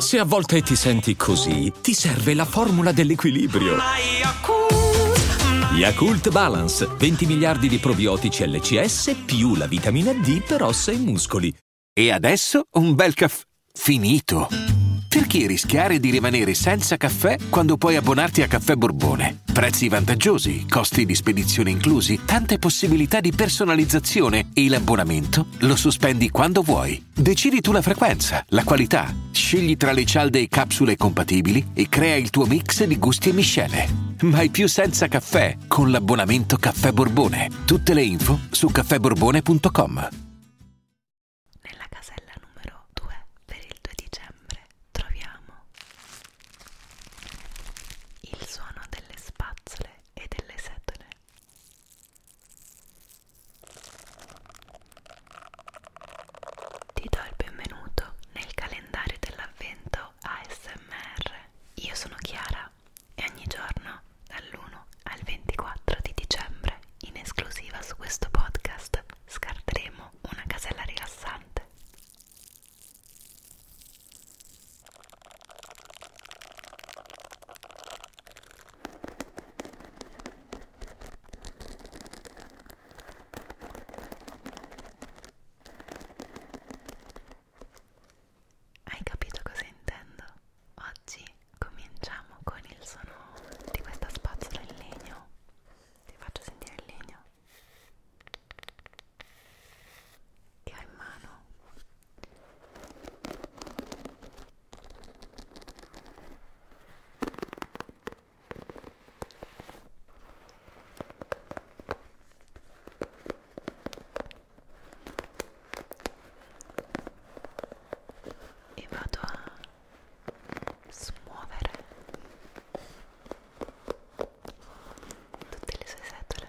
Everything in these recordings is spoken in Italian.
Se a volte ti senti così, ti serve la formula dell'equilibrio. Yakult Balance, 20 miliardi di probiotici LCS più la vitamina D per ossa e muscoli. E adesso un bel caffè finito. Perché rischiare di rimanere senza caffè quando puoi abbonarti a Caffè Borbone? Prezzi vantaggiosi vantaggi, costi di spedizione inclusi, tante possibilità di personalizzazione e l'abbonamento lo sospendi quando vuoi. Decidi tu la frequenza, la qualità, scegli tra le cialde e capsule compatibili e crea il tuo mix di gusti e miscele. Mai più senza caffè con l'abbonamento Caffè Borbone. Tutte le info su caffèborbone.com. Nella casella numero 2 per il 2 dicembre troviamo il suono delle spazzole e delle setole. Ti do il benvenuto nel calendario dell'avvento ASMR. Io sono Chiara e ogni giorno dall'1 al 24 di dicembre in esclusiva su questo podcast scarteremo una casella rilassante. Hai capito cosa intendo? Oggi cominciamo con il suono di questa spazzola in legno. Ti faccio sentire il legno che ho in mano e vado a smuovere tutte le sue setole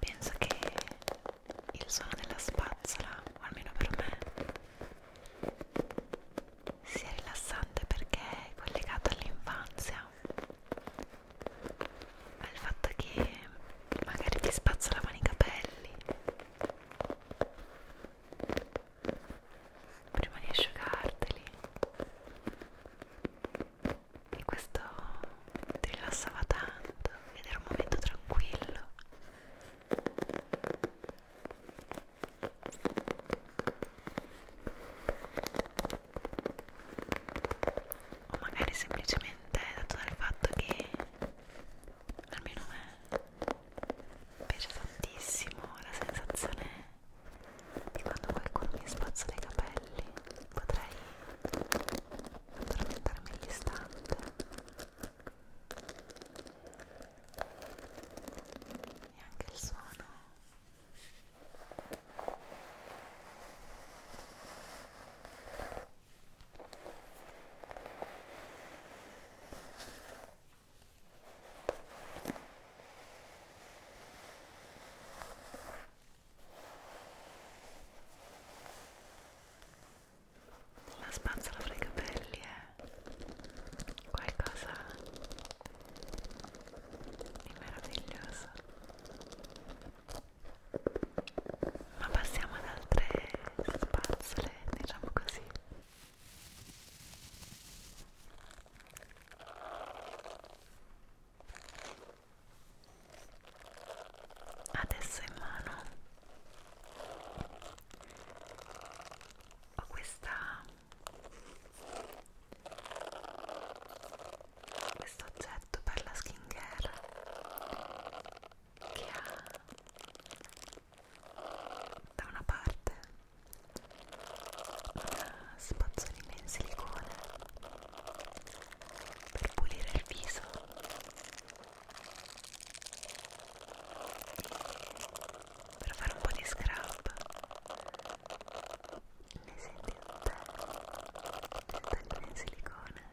penso che il suono della spazzola, o almeno per me, sia rilassante perché è collegato all'infanzia, al fatto che magari ti spazzolavano i capelli prima di asciugarteli e questo ti rilassava tanto ed era un momento tranquillo o magari semplicemente dato dal fatto che almeno a me piace tantissimo la sensazione di quando qualcuno mi spazza dei capelli potrei tramontarmi all'istante e anche il suono la spazzola fra i capelli è eh. qualcosa di meraviglioso. Ma passiamo ad altre spazzole, diciamo così adesso in mano ho questa questo oggetto per la skin care che ha da una parte una spazzolina in silicone per pulire il viso per fare un po' di scrub le senti tutte le tagline in silicone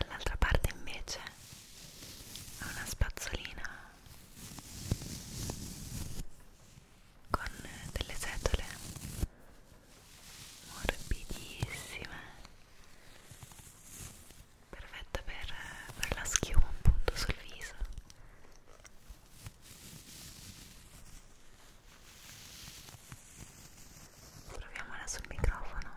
Dall'altra parte invece ho una spazzolina con delle setole morbidissime perfetta per fare la schiuma appunto sul viso proviamo adesso il microfono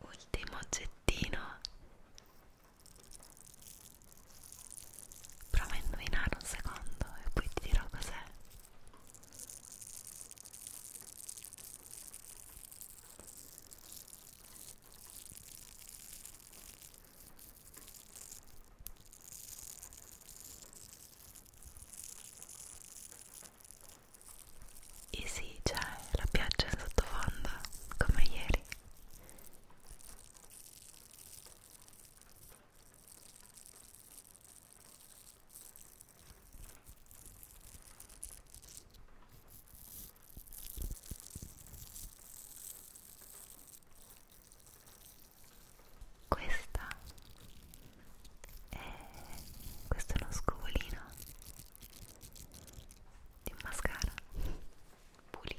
ultimo oggettino prova a indovinare un secondo e poi ti dirò cos'è e sì, c'è cioè, la pioggia in sottofondo, come ieri. Questa e eh, questo è uno scovolino di un mascara pulito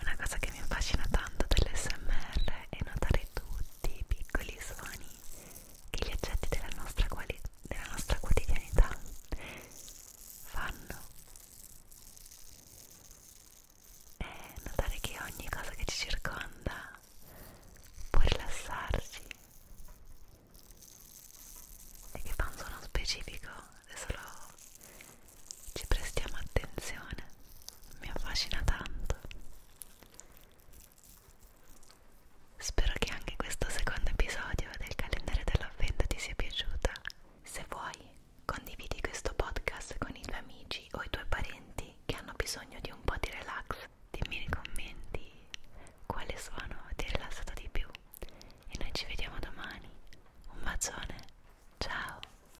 Una cosa che mi affascina tanto dell'SMR è notare tutti i piccoli suoni che gli oggetti della nostra, della nostra quotidianità fanno. E notare che ogni cosa che ci circonda può rilassarci e che fa un suono specifico è solo ci prestiamo attenzione, mi affascina tanto. Spero che anche questo secondo episodio del calendario dell'avvento ti sia piaciuta. Se vuoi, condividi questo podcast con i tuoi amici o i tuoi parenti che hanno bisogno di un po' di relax. Dimmi nei commenti quale suono ti è rilassato di più. E noi ci vediamo domani. Un bacione. Ciao.